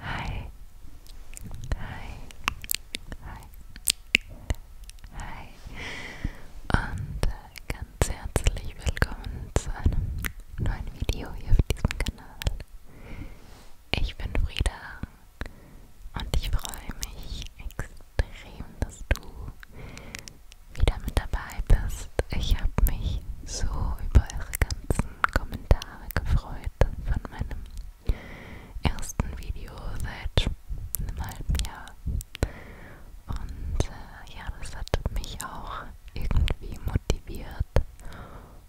Hi. Hi. Hi. Hi. Und äh, ganz herzlich willkommen zu einem neuen Video hier auf diesem Kanal. Ich bin Frieda und ich freue mich extrem, dass du wieder mit dabei bist. Ich habe mich so über eure ganzen Kommentare gefreut von meinem ersten Video seit einem halben Jahr. Und äh, ja, das hat mich auch irgendwie motiviert,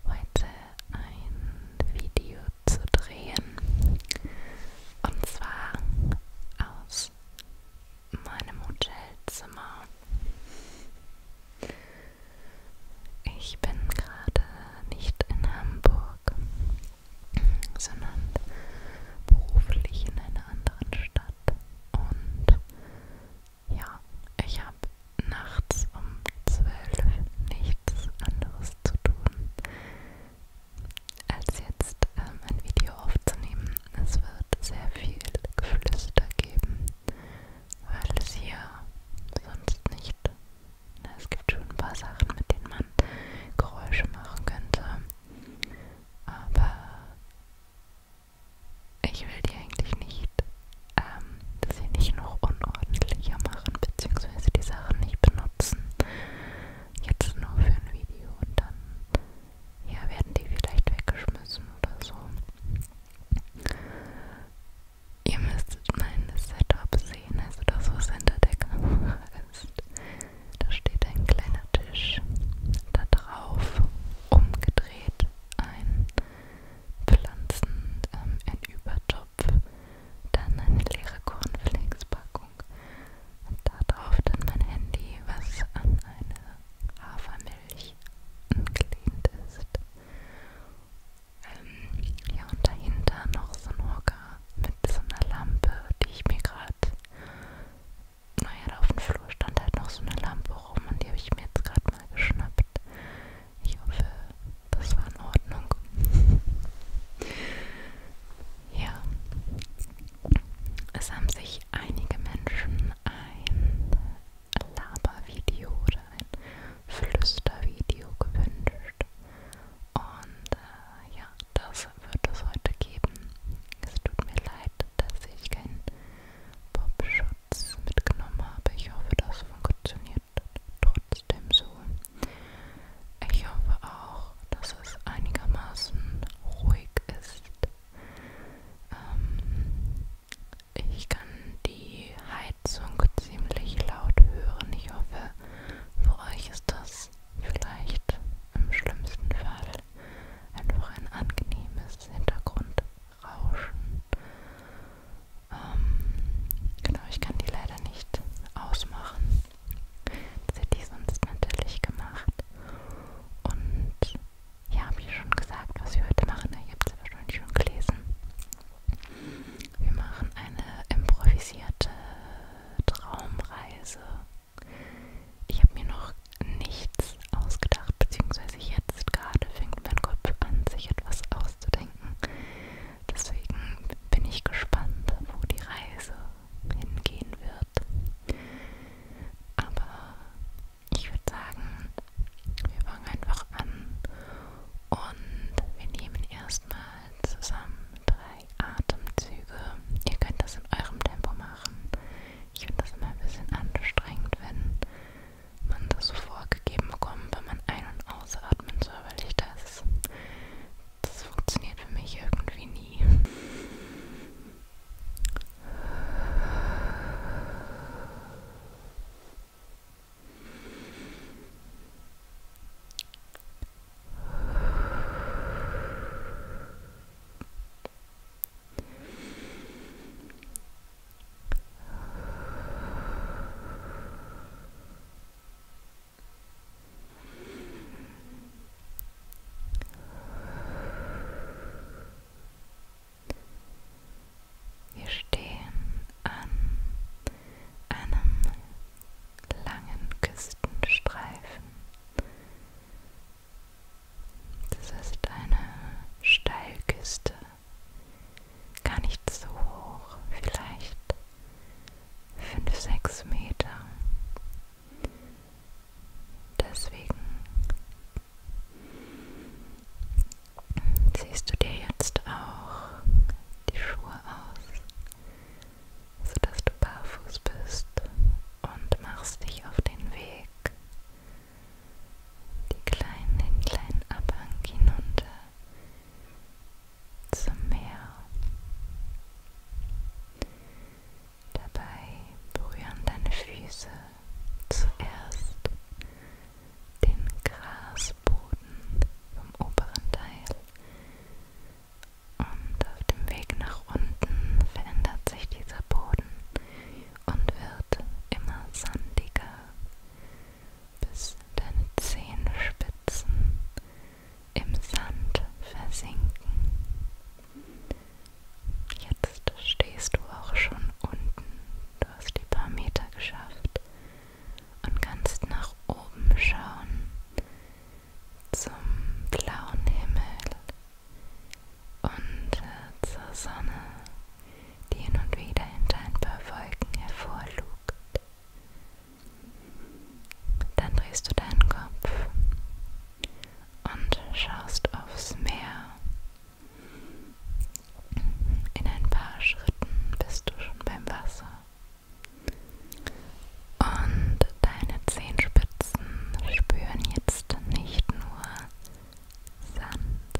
heute ein Video zu drehen. Und zwar aus meinem Hotelzimmer. Ich bin gerade nicht in Hamburg, sondern beruflich in einer anderen Stadt. Und ja, ich habe nachts um zwölf nichts anderes zu tun, als jetzt ähm, ein Video aufzunehmen. Es wird sehr viel Geflüster geben, weil es hier sonst nicht. Na, es gibt schon ein paar Sachen, mit denen man Geräusche machen könnte. Aber ich will die eigentlich nicht, ähm, dass sie nicht noch unordentlicher machen, beziehungsweise die Sachen nicht benutzen. Jetzt nur für ein Video und dann ja, werden die vielleicht weggeschmissen oder so. Ihr müsstet mein Setup sehen, also das, was hinter der Kamera ist. Da steht ein kleiner Tisch, da drauf umgedreht ein Pflanzen, ähm, ein Übertopf, dann eine leere Cornflakes-Packung, habe darauf dann mein Handy, was an eine Hafermilch angelehnt ist. Ähm, ja, und dahinter noch so ein Hocker mit so einer Lampe, die ich mir gerade. Naja, da auf dem Flur stand halt noch so eine Lampe rum und die habe ich mir jetzt gerade mal geschnappt. Ich hoffe, das war in Ordnung. ja. Es haben sich einige Menschen ein Labervideo oder ein Flüstervideo gewünscht. Und äh, ja, das wird es heute geben. Es tut mir leid, dass ich keinen Popschutz mitgenommen habe. Ich hoffe, das funktioniert trotzdem so. Ich hoffe auch, dass es einigermaßen ruhig ist. Ähm, ich kann die Heizung ziemlich laut hören. Ich hoffe, für euch ist das vielleicht im schlimmsten Fall einfach ein angenehmes Hintergrundrauschen. Ähm, genau, ich kann die leider nicht ausmachen. Das hätte ich sonst natürlich gemacht. Und ja, habe ich schon gesagt, was wir heute machen. Ihr habt es wahrscheinlich schon gelesen. Wir machen eine improvisierte Traumreise. Ich habe mir noch nichts ausgedacht, beziehungsweise jetzt gerade fängt mein Kopf an, sich etwas auszudenken. Deswegen bin ich gespannt, wo die Reise hingehen wird. Aber ich würde sagen, wir fangen einfach an und wir nehmen erstmal zusammen drei Atemzüge. Ihr könnt das in eurem Tempo machen. Ich finde das immer ein bisschen anstrengend, wenn man das so vorgegeben bekommt, wenn man ein- und ausatmen soll, weil ich das das funktioniert für mich irgendwie nie. Wir stehen an einem langen Küstenstreifen. Das ist eine Steilküste, gar nicht so hoch, vielleicht 5, 6 Meter. Deswegen siehst du dir jetzt auch die Schuhe aus, sodass du barfuß bist und machst dich auf den Weg die kleinen, den kleinen Abhang hinunter zum Meer. Dabei berühren deine Füße zuerst den Grasboden vom oberen Teil und auf dem Weg nach unten verändert sich dieser Boden und wird immer sandiger, bis deine Zehenspitzen im Sand versinken. Jetzt stehst du auch schon unten, du hast die paar Meter geschafft und kannst nach oben schauen zum blauen Himmel und äh, zur Sonne, die hin und wieder hinter ein paar Wolken hervorlugt. Dann drehst du deinen Kopf und schaust aufs Meer. In ein paar Schritten bist du schon beim Wasser. Und deine Zehenspitzen spüren jetzt nicht nur Sand,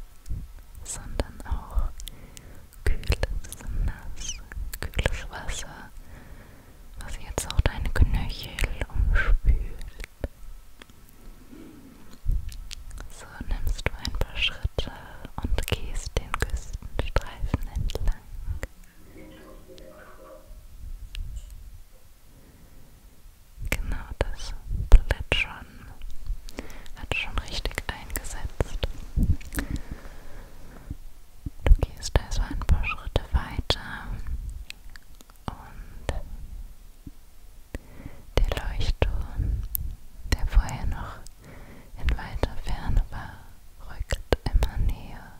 sondern auch kühles Nass, kühles Wasser was jetzt auch deine Knöchel umspült. So nimmst du ein paar Schritte und gehst den Küstenstreifen entlang. Genau das Plätschern hat schon richtig eingesetzt. Du gehst also ein paar Schritte weiter und der Leuchtturm, der vorher noch in weiter Ferne war, rückt immer näher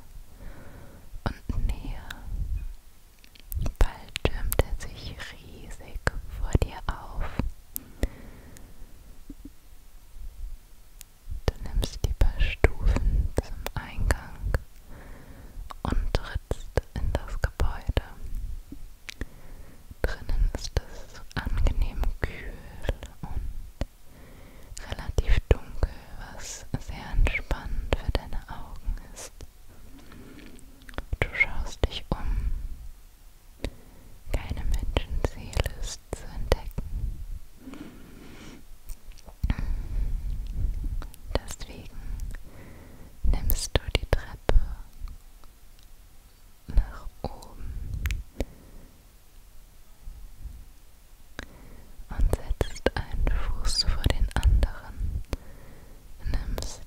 und näher. Bald türmt er sich riesig vor dir auf. Du nimmst die paar Stufen zum Eingang und trittst in das Gebäude. Drinnen ist es angenehm kühl und relativ dunkel, was sehr entspannend für deine Augen ist. Du schaust dich um. Keine Menschenseele ist zu entdecken. Deswegen nimmst du die Treppe nach oben und setzt einen Fuß vor den anderen, nimmst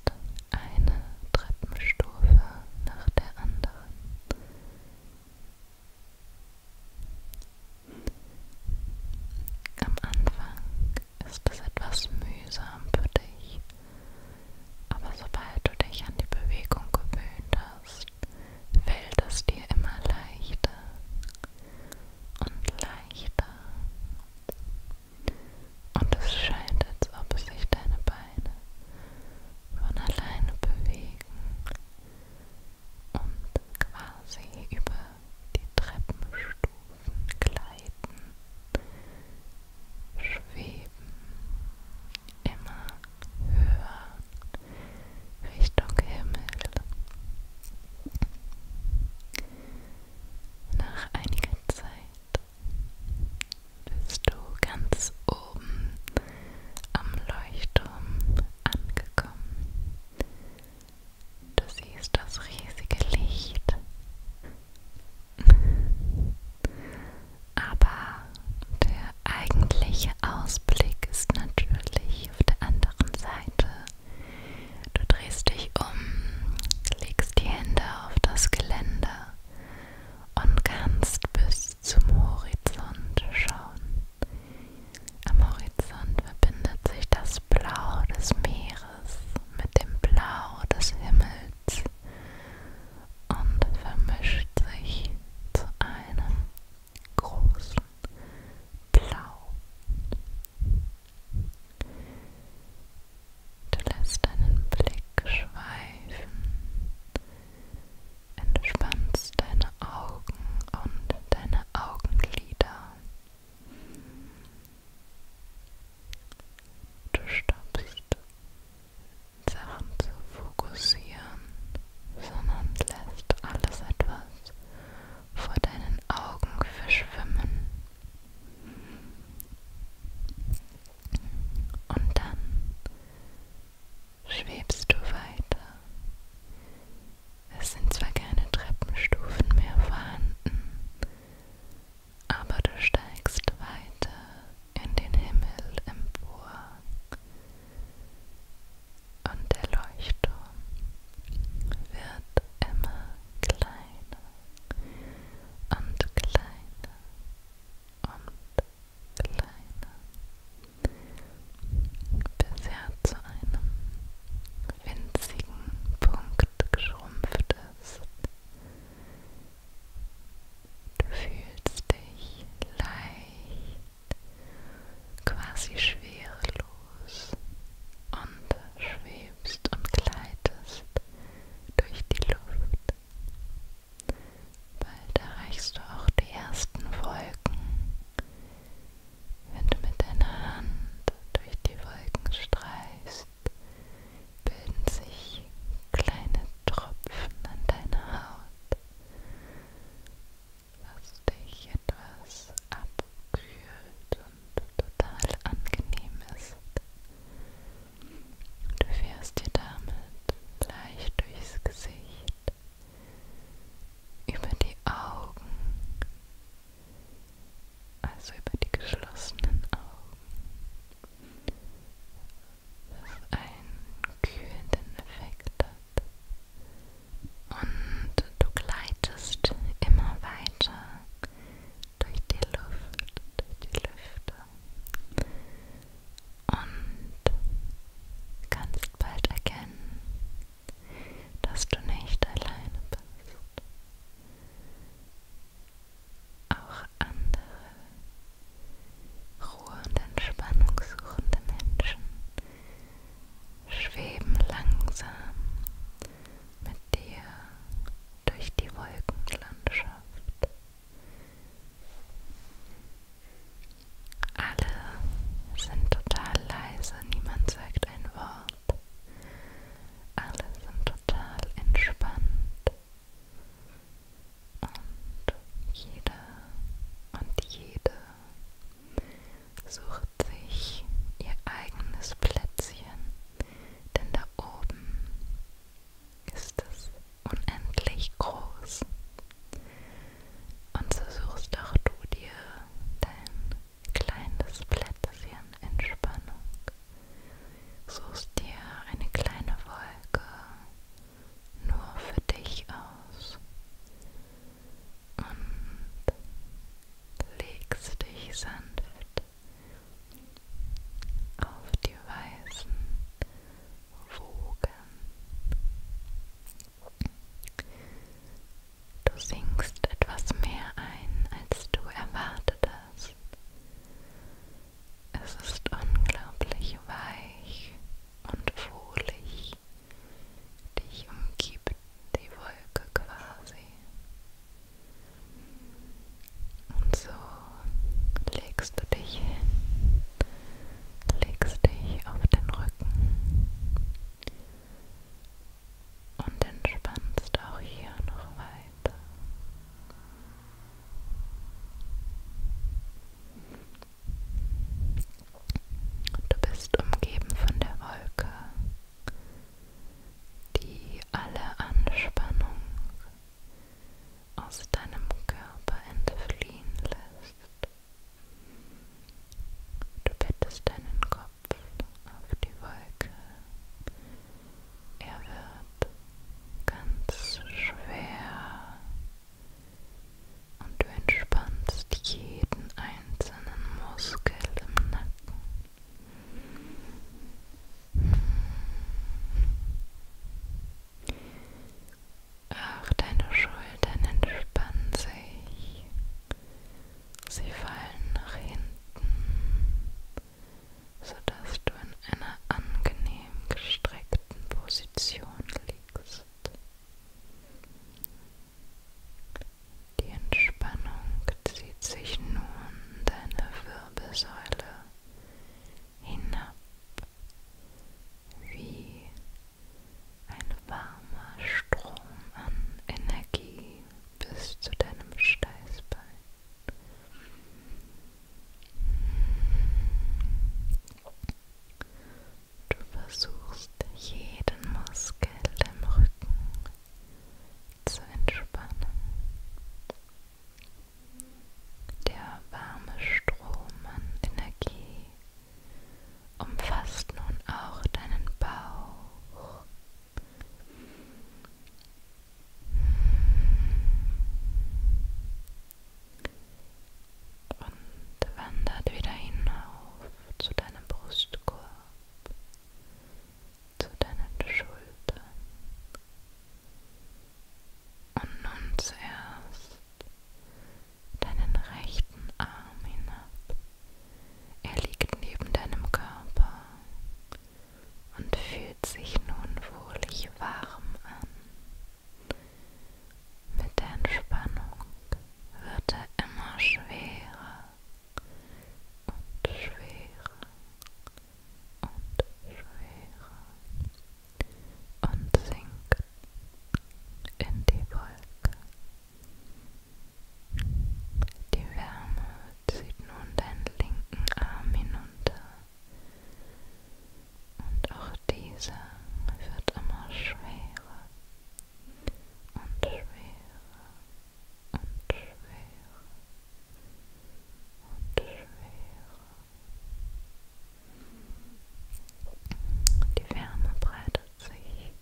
eine Treppenstufe nach der anderen am Anfang ist es etwas mühsam für dich, aber sobald du dich an die Bewegung gewöhnt hast, fällt es dir immer leichter und leichter. Und es scheint, als ob sich deine Beine von alleine bewegen und quasi über die Treppenstufen gleiten, schweben immer höher Richtung Himmel. Nach einiger Zeit bist du ganz oben am Leuchtturm angekommen. Du siehst das riesige Licht. Aber der eigentliche Ausblick ist natürlich auf der anderen Seite. Du drehst dich um, legst die Hände auf das Geländer und kannst bis zum Horizont schauen. Am Horizont verbindet sich das Blau des Meeres mit dem Blau des Himmels und vermischt sich zu einem großen Blau. Du lässt deinen Blick schweifen entspannst deine Augen und deine Augenlider. Du stoppst Sachen zu fokussieren, sondern lässt alles etwas vor deinen Augen verschwimmen. Und dann schwebst du weiter. Es sind zwar keine Treppenstufen mehr vorhanden, aber du steigst weiter in den Himmel empor. Und der Leuchtturm wird immer kleiner und kleiner und kleiner bisher zu einem winzigen Punkt geschrumpft ist. Du fühlst dich leicht, quasi schwerelos und schwebst und gleitest durch die Luft. Bald erreichst du auch die ersten Wolken. Wenn du mit deiner Hand durch die Wolken streichst, bilden sich kleine Tropfen an deiner Haut. Was dich etwas abkühlt und total angenehm ist. Du fährst dir damit leicht durchs Gesicht, über die Augen, also über die geschlossenen Augen, was einen kühlenden Effekt hat. Und du gleitest immer weiter durch die Luft, durch die Lüfte und kannst bald erkennen, dass du nicht alleine bist. Auch andere Ruhe- und Entspannungssuchende Menschen schweben langsam mit dir durch die Wolkenlandschaft. Alle sind total leise, niemand sagt ein Wort. Alle sind total entspannt. Und jeder und jede sucht sich ihr eigenes Plätzchen, denn da oben ist es unendlich groß. Und so suchst auch du dir dein kleines Plätzchen Entspannung. Suchst dir eine kleine Wolke nur für dich aus und legst dich sanft auf die weißen Wogen. Du sinkst etwas mehr ein, als du erwartet hast. Es ist unglaublich weich und wohlig. Dich umgibt die Wolke quasi. Und so legst du dich hin, legst dich auf den Rücken und entspannst auch hier noch weiter. Du bist umgeben von der Wolke, die alle Anspannung aus deinem Körper entfliehen lässt. Du bettest deinen Kopf auf die Wolke. Er wird ganz schwer und du entspannst jeden einzelnen Muskel im Nacken. Auch deine Schultern entspannen sich. Sie fallen nach hinten, sodass du in einer angenehm gestreckten Position liegst. Die Entspannung zieht sich nun deine Wirbelsäule hinab, wie ein warmer Strom an Energie bis zu deinem Steißbein. Du versuchst jeden Muskel im Rücken zu entspannen. Der warme Strom an Energie umfasst nun auch deinen Bauch. Und wandert wieder hinauf zu deinem Brustkorb, zu deinen Schultern und nun zuerst deinen rechten Arm hinab. Er liegt neben deinem Körper und fühlt sich nun wohlig warm an. Mit der Entspannung wird er immer schwerer und schwerer und schwerer und sinken in die Wolke. Die Wärme zieht nun deinen linken Arm hinunter und auch dieser wird immer schwerer und schwerer und schwerer und schwerer. Die Wärme breitet sich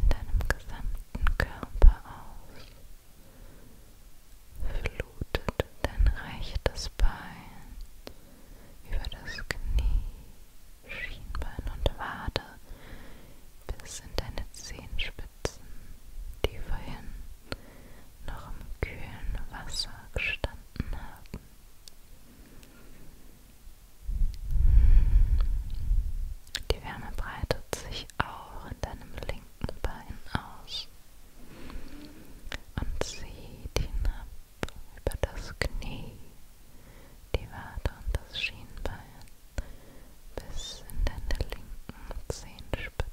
in deinem gesamten Körper aus, flutet dein rechtes Bein über das Knie, Schienbein und Wade bis in deine Zehenspitze. Spitzen, die vorhin noch im kühlen Wasser gestanden haben. Die Wärme breitet sich auch in deinem linken Bein aus und zieht hinab über das Knie, die Wade und das Schienbein bis in deine linken Zehenspitzen.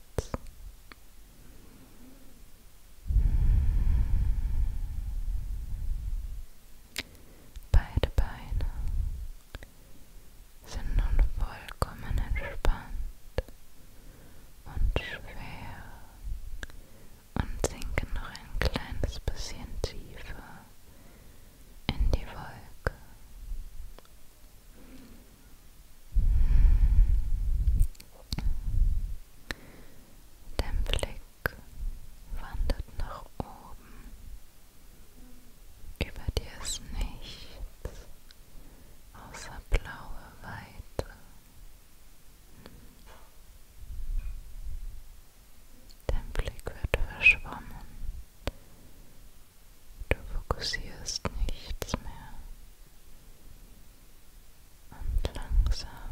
Beide Beine sind nun vollkommen entspannt und schwer und sinken noch ein kleines bisschen tiefer in die Wolke. Dein Blick wandert nach oben. Über dir ist nichts außer blaue Weite. Dein Blick wird verschwommen Du fokussierst nichts mehr. Und langsam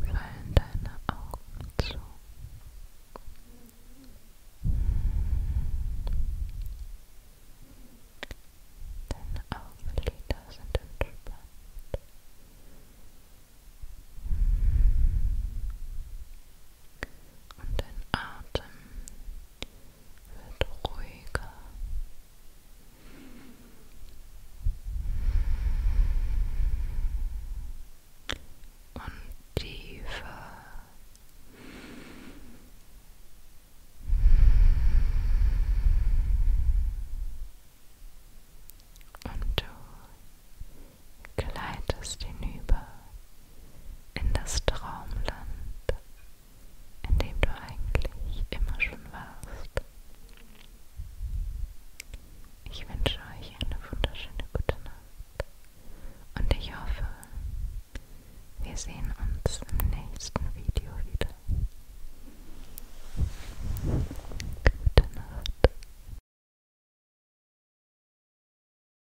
fallen deine Augen zu. Deine Augenlider sind entspannt. Und dein Atem wird ruhiger. Und tiefer. Und du gleitest hinüber in das Traumland, in dem du eigentlich immer schon warst. Ich wünsche euch eine wunderschöne gute Nacht und ich hoffe, wir sehen uns im nächsten Video wieder. Gute Nacht.